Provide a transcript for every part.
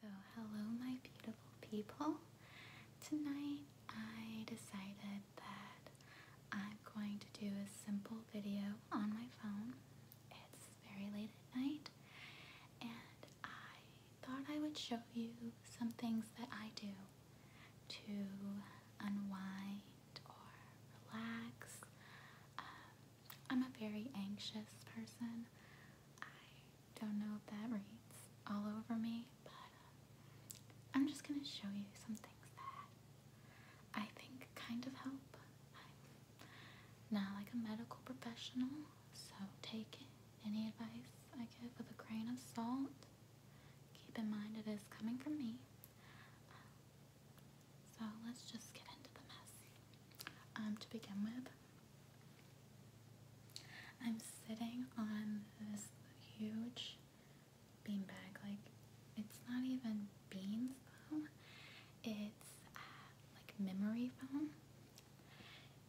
So, hello, my beautiful people. Tonight I decided that I'm going to do a simple video on my phone. It's very late at night, and I thought I would show you some things that I do to unwind or relax. Um, I'm a very anxious person. Don't know if that reads all over me, but uh, I'm just gonna show you some things that I think kind of help. i not like a medical professional, so take any advice I give with a grain of salt. Keep in mind it is coming from me. Uh, so let's just get into the mess. Um, to begin with, I'm sitting on this huge beanbag. Like, it's not even beans though, it's uh, like memory foam.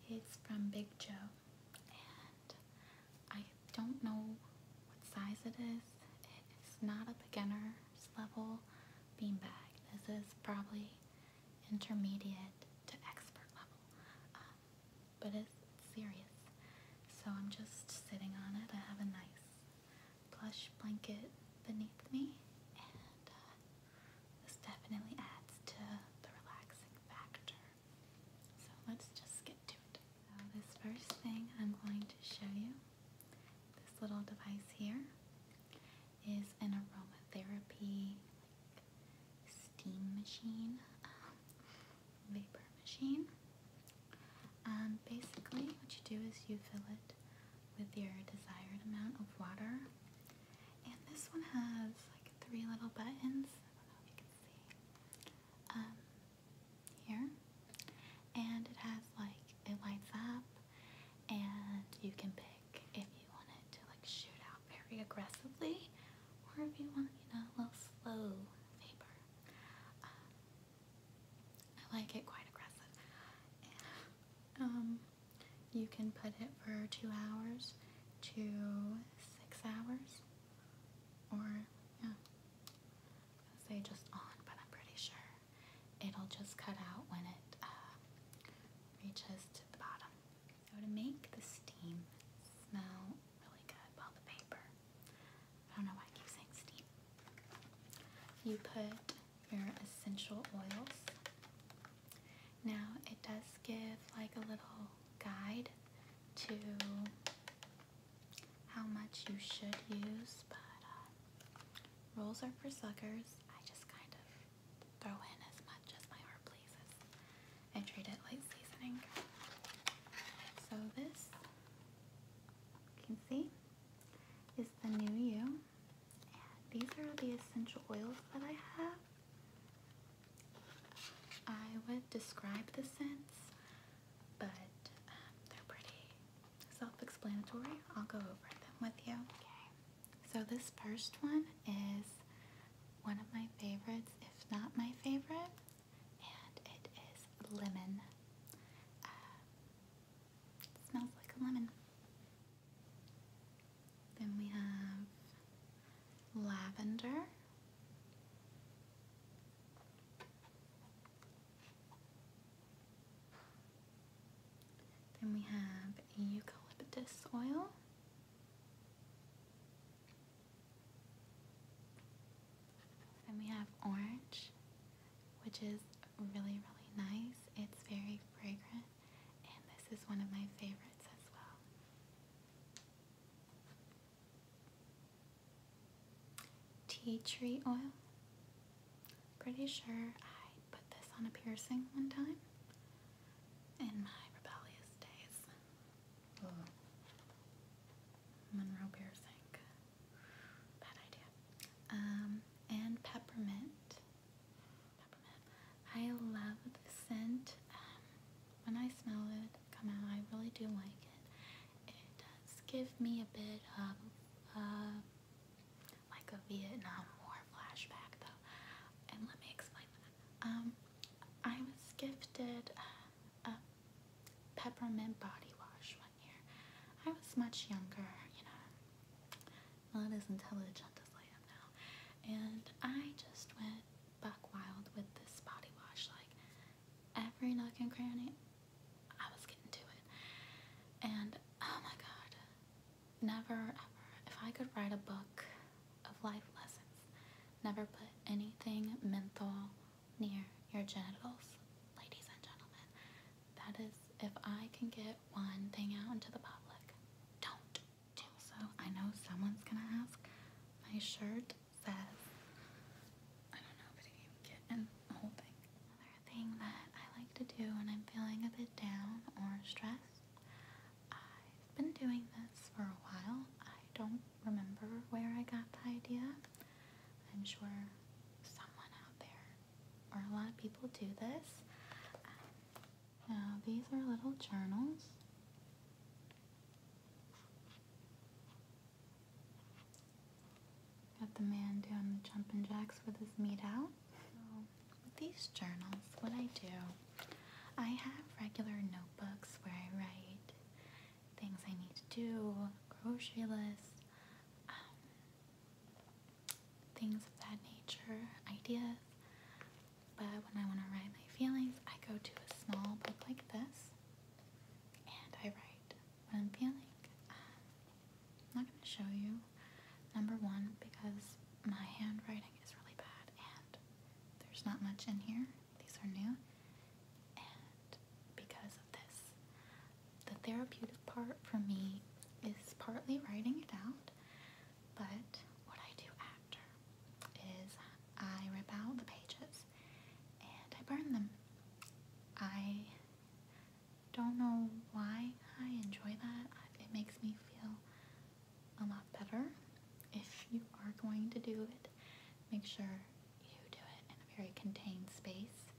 It's from Big Joe, and I don't know what size it is. It's not a beginner's level beanbag. This is probably intermediate to expert level, um, but it's serious. So I'm just sitting on it. I have a nice plush blanket beneath me, and uh, this definitely adds to the relaxing factor. So let's just get to it. this first thing I'm going to show you, this little device here, is an aromatherapy steam machine, um, vapor machine. Um, basically, what you do is you fill it with your desired amount of water. And this one has like three little buttons. Um, here. And it has like, it lights up, and you can pick if you want it to like shoot out very aggressively or if you want, you know, a little slow vapor. Um, I like it quite aggressive. Um, you can put it for two hours to six hours or yeah. say just on, but I'm pretty sure it'll just cut out when it uh, reaches to make the steam smell really good, well the paper, I don't know why I keep saying steam. You put your essential oils. Now it does give like a little guide to how much you should use, but uh, rolls are for suckers. I just kind of throw in as much as my heart pleases. I treat it like seasoning. So this, you can see, is the new you. these are the essential oils that I have. I would describe the scents, but um, they're pretty self-explanatory. I'll go over them with you. Okay. So this first one is one of my favorites, if not my favorite, and it is lemon. Uh, smells like a lemon. Then we have lavender. Then we have eucalyptus oil. Then we have orange, which is really, really nice. It's very fragrant, and this is one of my favorites as well. Tea tree oil. Pretty sure I put this on a piercing one time in my rebellious days. Ugh. Oh. piercing. Bad idea. Um, and peppermint. I love the scent. Um, when I smell it come out, I really do like it. It does give me a bit of uh, like a Vietnam War flashback, though. And let me explain that. Um, I was gifted a peppermint body wash one year. I was much younger, you know, not as intelligent as I am now. And I just went buck wild with this body wash, like every nook and cranny. I was getting to it. And oh my god, never ever, if I could write a book of life lessons, never put anything menthol near your genitals, ladies and gentlemen. That is, if I can get one thing out into the public, don't do so. I know someone's gonna ask. My shirt says, I don't know if it can get in the whole thing. Another thing that I like to do when I'm feeling a bit down or stressed I've been doing this for a while. I don't remember where I got the idea. I'm sure someone out there or a lot of people do this. Um, now, these are little journals. Got the man doing the jumping jacks with his meat out with these journals, what I do, I have regular notebooks where I write things I need to do, grocery list, um, things of that nature, ideas. But when I want to write my feelings, I go to a small book like this and I write what I'm feeling. Um, I'm not going to show you. Number one, because my handwriting is really bad and there's not much in here. These are new. And because of this, the therapeutic part for me is partly writing it out, but what I do after is I rip out the pages and I burn them. I don't know why I enjoy that. It makes me feel a lot better. If you are going to do it, make sure you do it in a very contained space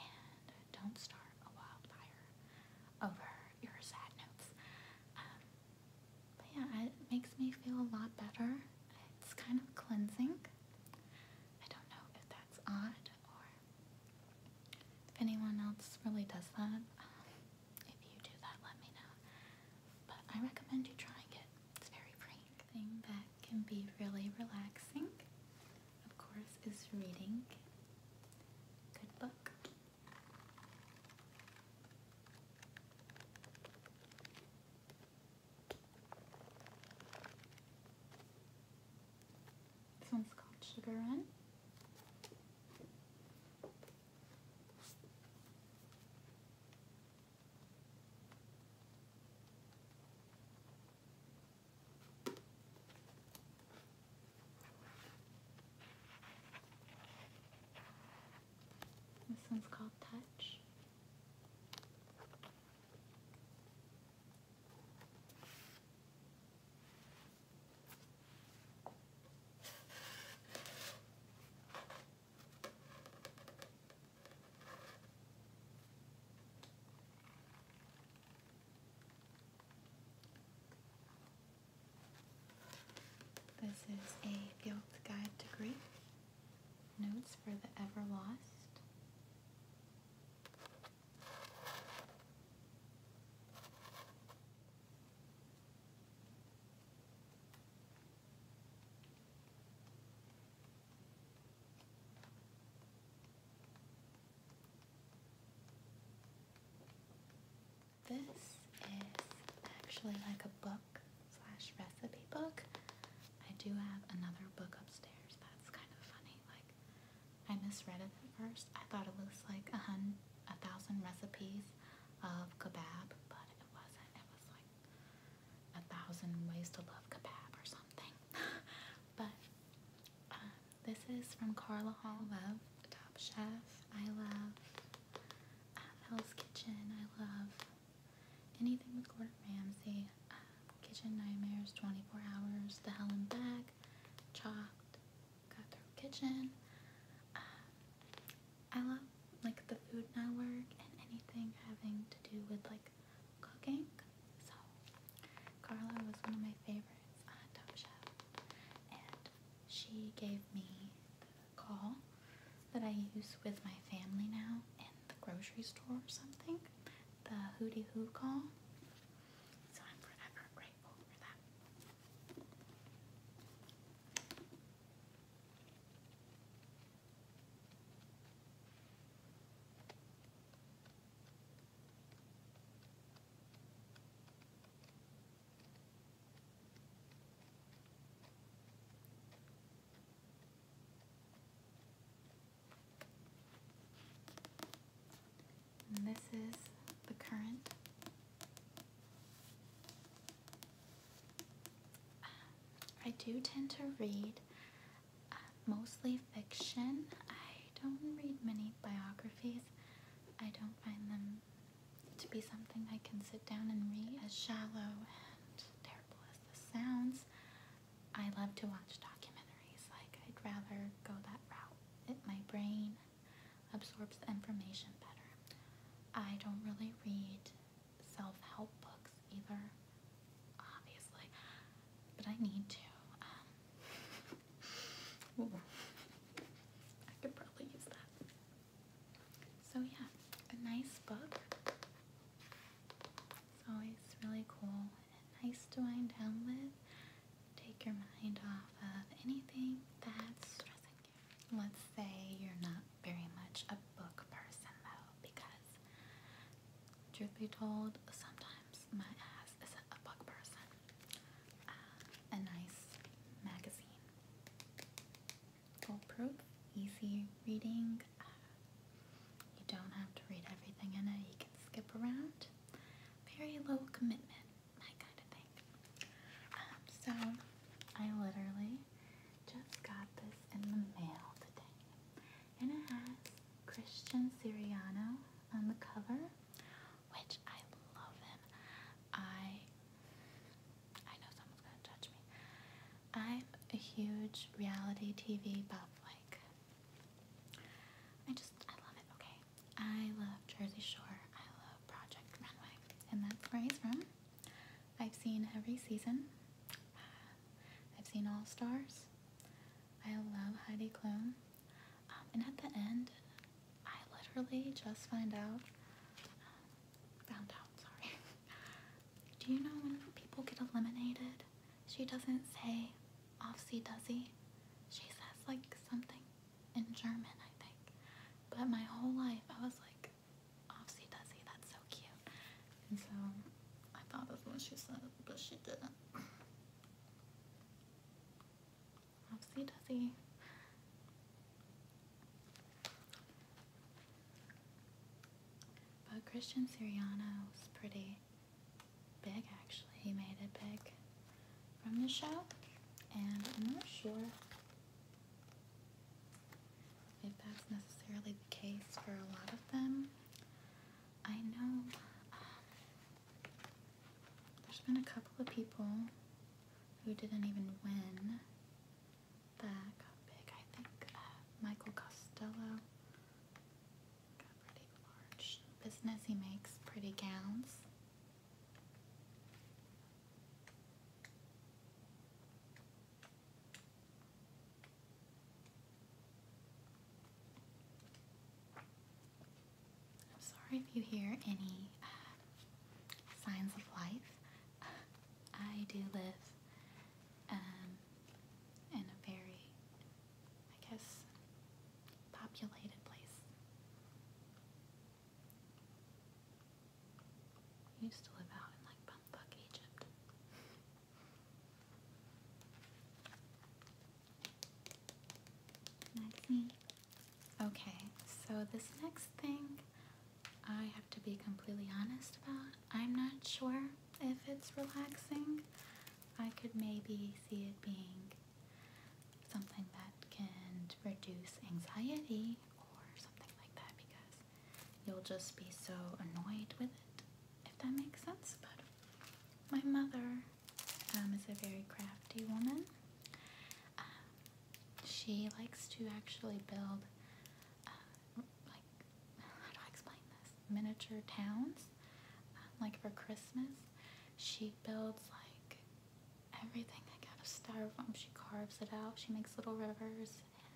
and don't start a wildfire over your sad notes. Um, but yeah, it makes me feel a lot better. It's kind of cleansing. I don't know if that's odd if anyone else really does that, um, if you do that, let me know. But I recommend you trying it. It's very free. Thing that can be really relaxing, of course, is reading. Good book. This one's called Sugar Run. This one's called Touch. This is a Guilt Guide to Grief. Notes for the Ever Lost. This is actually like a book slash recipe book. I do have another book upstairs. That's kind of funny. Like I misread it at first. I thought it was like a hun a thousand recipes of kebab, but it wasn't. It was like a thousand ways to love kebab or something. but uh, this is from Carla Hall. I love Top Chef. I love uh, Hell's Kitchen. I love anything with Gordon Ramsay. Uh, Kitchen Nightmares, 24 Hours, The Helen Back, Chopped, Cutthroat Kitchen. Um, I love like the Food Network and anything having to do with like cooking. So Carla was one of my favorites on Top Chef, and she gave me the call that I use with my family now in the grocery store or something. The Hootie Hoo call. So I'm forever grateful for that. And this is the current. I do tend to read uh, mostly fiction. I don't read many biographies. I don't find them to be something I can sit down and read. As shallow and terrible as this sounds, I love to watch documentaries. Like, I'd rather go that route it, my brain absorbs the information better. I don't really read self-help books either, obviously, but I need to. Um, I could probably use that. So yeah, a nice book. It's always really cool and nice to wind down with take your mind off of anything that's stressing you. Let's say you're not very much a book person though, because truth be told, sometimes my ass is a book person. Uh, a nice magazine. Foolproof, easy reading. Uh, you don't have to read everything in it. You can skip around very low commitment, that kind of thing. Um, so I literally just got this in the mail today, and it has Christian Siriano on the cover, which I love I I know someone's gonna judge me. I'm a huge reality TV buff. Like I just I love it. Okay, I love Jersey Shore. I love Project Runway. And that's where he's from. I've seen every season. I've seen All Stars. I love Heidi Klum. Um, and at the end, I literally just find out, um, found out, sorry. Do you know when people get eliminated? She doesn't say, Offsy Duzzy. She says like something in German, I think. But my whole life I was like, Offsy Duzzy, that's so cute. And so I thought that's what she said, but she didn't. Offsy Duzzy. But Christian Siriano was pretty big actually. He made it big from the show, and I'm not sure if that's necessarily the case for a lot of them. I know um, there's been a couple of people who didn't even win that got big. I think uh, Michael Costello pretty large business. He makes pretty gowns. I'm sorry if you hear any uh, signs of life. I do live um, in a very I guess, populated place. used to live out in like bumfuck Egypt. Okay, so this next thing I have to be completely honest about. I'm not sure if it's relaxing. I could maybe see it being something that can reduce anxiety or something like that because you'll just be so annoyed with it, if that makes sense. But my mother um, is a very crafty woman. Um, she likes to actually build, uh, like, how do I explain this? Miniature towns like for Christmas. She builds like everything like out of styrofoam. She carves it out. She makes little rivers and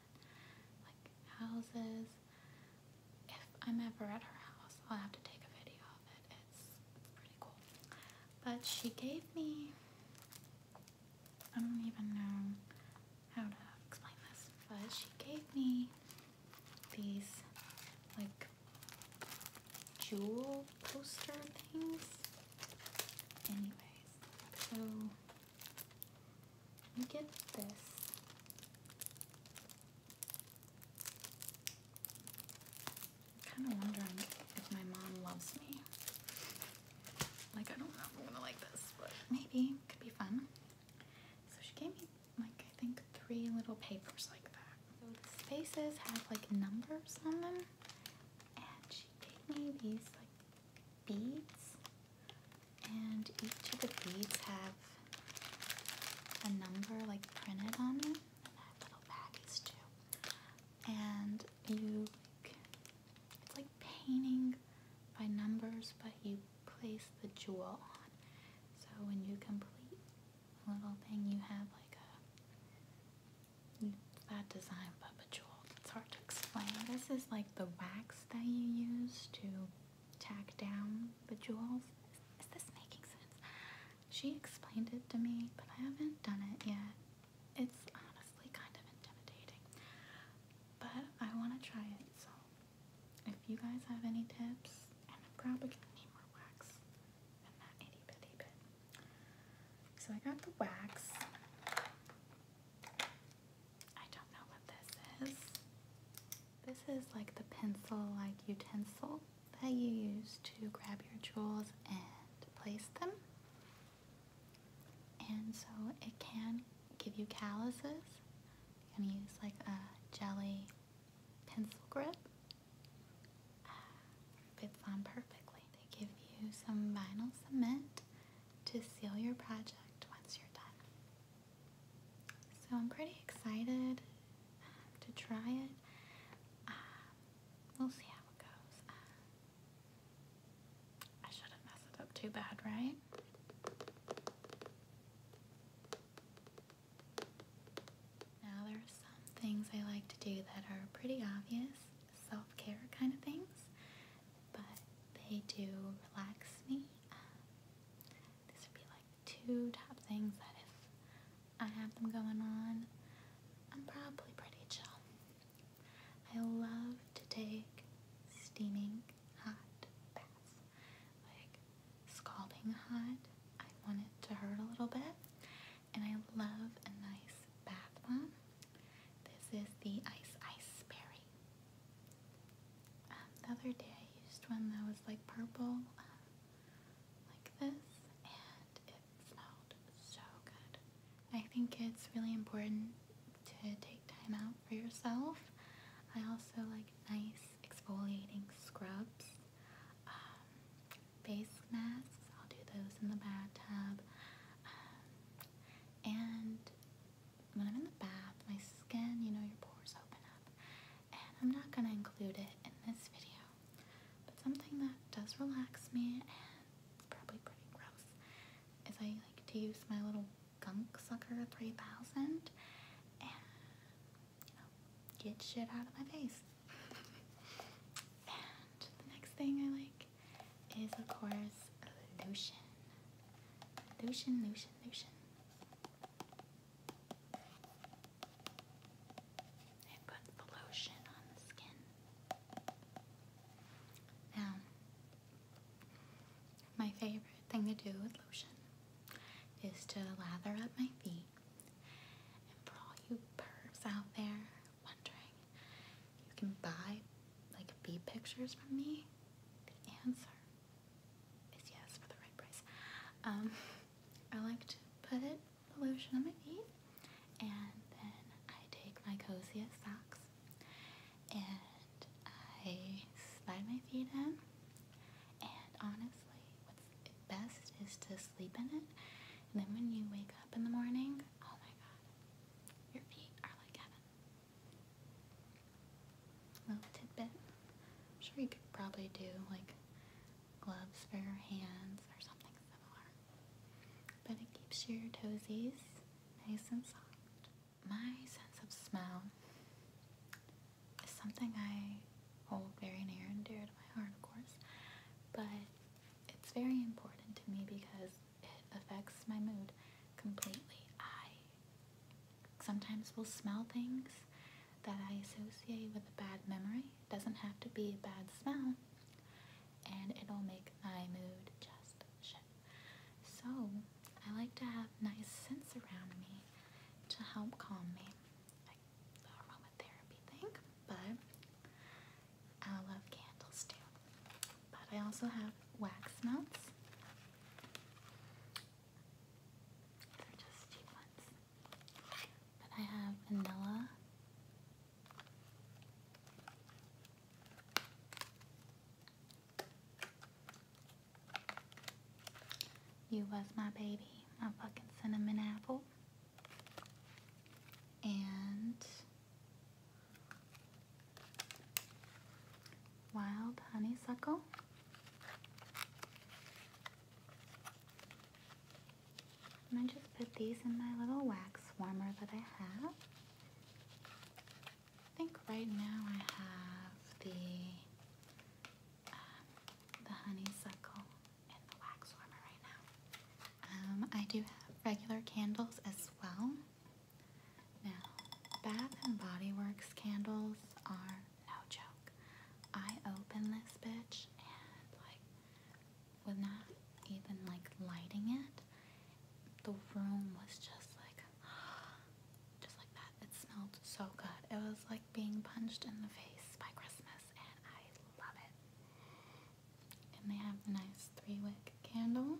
like houses. If I'm ever at her house, I'll have to take a video of it. it's pretty cool. But she gave me I don't even know how to explain this, but she gave me these like jewel poster things. Anyways, so you get this. kind of wondering if my mom loves me. Like, I don't know if I'm gonna like this, but maybe could be fun. So she gave me like I think three little papers like that. So the spaces have like numbers on them, and she gave me these like beads, and each of the beads have a number like printed on them. And I little baggies too, and you like, it's like painting by numbers, but you place the jewel on. So when you complete little thing you have like a that design Papa Jewel. It's hard to explain. This is like the wax that you use to tack down the jewels. is this making sense? She explained it to me, but I haven't done it yet. It's honestly kind of intimidating. But I want to try it, so if you guys have any tips, and I'm probably gonna need more wax than that itty bitty bit. So I got the wax. I don't know what this is. This is like the pencil-like utensil that you use to grab your jewels and place them. And so it can give you calluses. You're gonna use like a jelly pencil grip fits on perfectly. They give you some vinyl cement to seal your project once you're done. So I'm pretty excited um, to try it. Um, we'll see how it goes. Um, I shouldn't mess it up too bad, right? Now there are some things I like to do that are pretty obvious, self-care kind of things, but they do relax me. Um, these would be like two top things that if I have them going on, I'm probably pretty chill. I love to take steaming hot baths. Like scalding hot. I want it to hurt a little bit. And I love a nice bath bomb. This is the Ice Ice Berry. Um, the other day I used one that was like purple, um, like this, and it smelled so good. I think it's really important to take time out for yourself. I also like nice exfoliating scrubs um, face masks. I'll do those in the bathtub. Um, and when I'm in the bath, my skin, you know, your pores open up. And I'm not going to include it in this video, but something that does relax me and it's probably pretty gross is I like to use my little Gunk Sucker 3000 you know, get shit out of my face. and the next thing I like is, of course, lotion. Lotion, lotion, lotion. I put the lotion on the skin. Now, my favorite thing to do with lotion is to lather up my feet. And for all you pervs out there wondering, you can buy like bee pictures from me. The answer is yes for the right price. Um, I like to put it, the lotion on my feet, and then I take my coziest socks and I slide my feet in. And honestly honestly, what's best is to sleep in it. And then when you wake up in the morning, oh my god, your feet are like heaven. Little tidbit. sure you could probably do like gloves for your hands or something similar. But it keeps your toesies nice and soft. My sense of smell is something I hold very near and dear to my heart, of course, but it's very important to me because it affects my mood completely. I sometimes will smell things that I associate with a bad memory. It doesn't have to be a bad smell, and it'll make my mood just shit. So, I like to have nice scents around me to help calm me the aromatherapy thing, but I love candles too. But I also have wax melts. They're just cheap But I have vanilla. You was my baby, my fucking cinnamon apple. And wild honeysuckle. I just put these in my little wax warmer that I have. I think right now I have the the honeysuckle and the wax warmer right now. Um, I do have regular candles as well. Now, Bath and Body Works candles are no joke. I open this bitch and like with even like lighting it, the room was just like just like that. It smelled so good. It was like being punched in the face by Christmas, and I love it. And they have the nice three wick candle.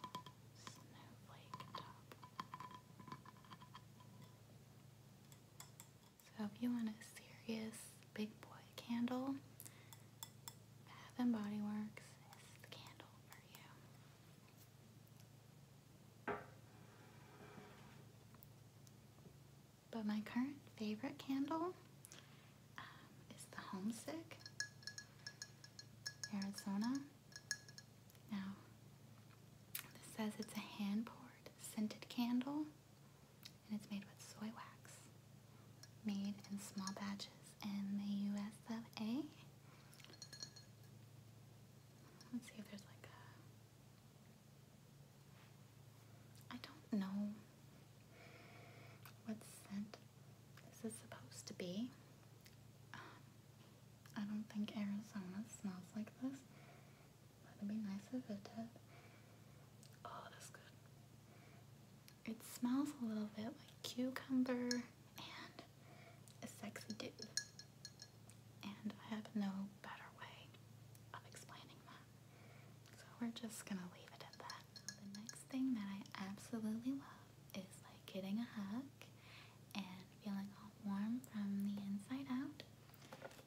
And snowflake top. So if you want a serious big boy candle, Bath and Body Works is the candle for you. But my current favorite candle um, is the Homesick Arizona. Now, this says it's a hand poured scented candle and it's made with soy wax. Made in small batches in the US of A. Let's see if there's like a. I don't know what scent this is supposed to be. Um, I don't think Arizona smells like this. That'd be nice if it Oh, that's good. It smells a little bit like cucumber and a sexy dude. And I have no better way of explaining that. So we're just gonna leave it at that. The next thing that I absolutely love is like getting a hug and feeling all warm from the inside out.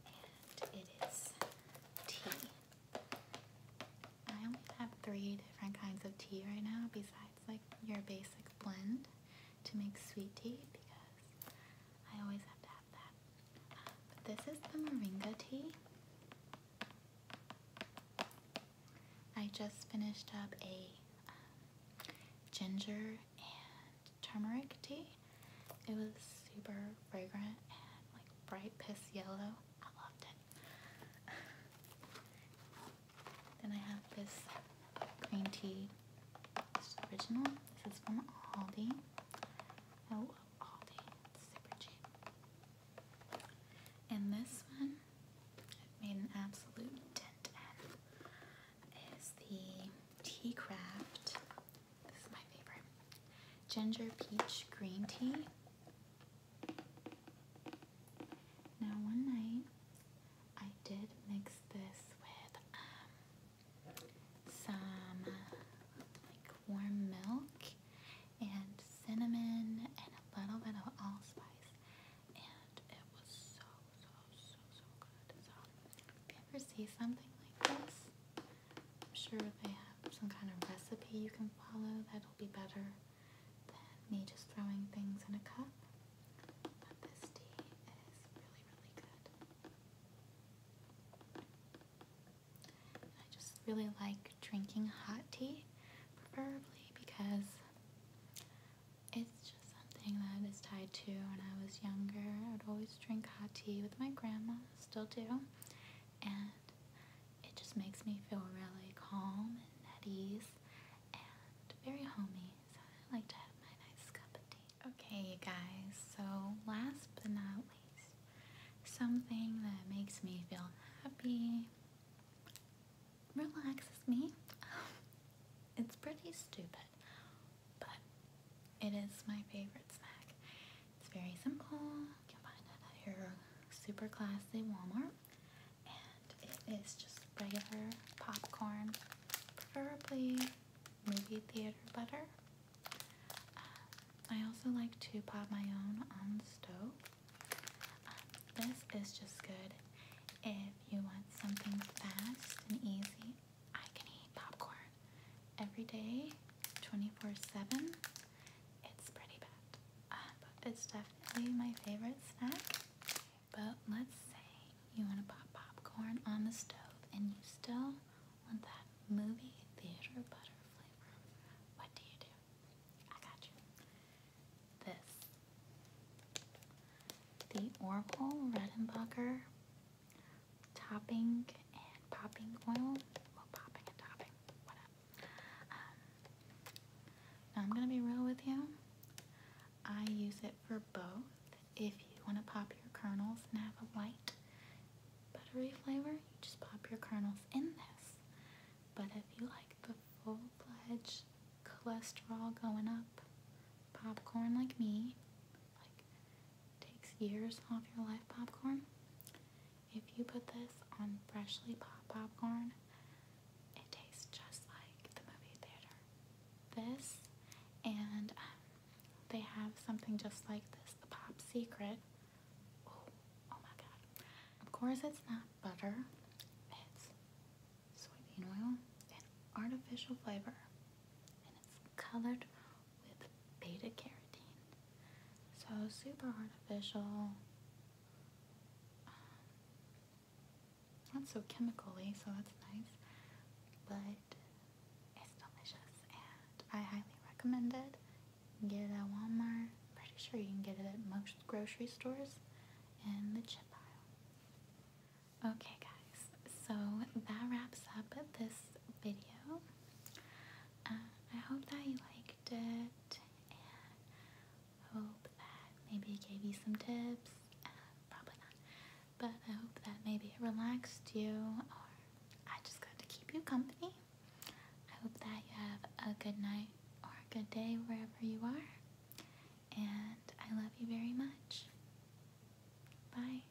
And it is tea. I only have three different kinds of tea right now besides like your basic blend to make sweet tea because I always have to have that. but this is the moringa tea. I just finished up a um, ginger and turmeric tea. It was super fragrant and like bright piss yellow. I loved it. then I have this green tea. It's original. This is from Aldi. I oh, Aldi. super cheap. And this one, it made an absolute dent in, is the Tea Craft this is my favorite. Ginger peach green tea. Now one night I did mix this with um, some like warm milk and cinnamon and a little bit of allspice and it was so so so so good. So you ever see something like this, I'm sure they have some kind of recipe you can follow that'll be better than me just throwing things in a cup. But this tea is really, really good. I just really like drinking hot tea, preferably because it's just something that is tied to when I was younger. I would always drink hot tea with my grandma, still do and it just makes me feel really calm and at ease and very homey. So I like to have my nice cup of tea. Okay, you guys, so last but not least, something that makes me feel happy, relaxes me. it's pretty stupid, but it is my favorite snack. It's very simple. You can find it at your super classy Walmart. And it is just regular popcorn, preferably movie theater butter. Um, I also like to pop my own on the stove. Um, this is just good if you want something fast and easy. I can eat popcorn every day, 24 7. It's pretty bad, uh, it's definitely my favorite snack. But let's say you want to pop popcorn on the stove and you still want that movie theater butter flavor. What do you do? I got you. This. The Orville Redenbacher topping and popping oil. Well, popping and topping, whatever. now um, I'm gonna be real with you. I use it for both. If you want to pop your kernels and have a light buttery flavor, you just pop your kernels in this. But if you like the full pledge, cholesterol going up popcorn like me, like takes years off your life popcorn. If you put this on freshly popped popcorn, it tastes just like the movie theater. This and um, they have something just like this, the Pop Secret. Oh, oh my god. Of course it's not butter. It's soybean oil and artificial flavor. And it's colored with beta carotene. So super artificial. Um, not so chemically, so that's nice. But it's delicious and I highly recommend it. get it at Walmart. Pretty sure you can get it at most grocery stores in the chip aisle. Okay guys, so that wraps up this video. Uh, I hope that you liked it, and hope that maybe it gave you some tips. Uh, probably not, but I hope that maybe it relaxed you, or I just got to keep you company. I hope that you have a good night or a good day wherever you are, and I love you very much. Bye.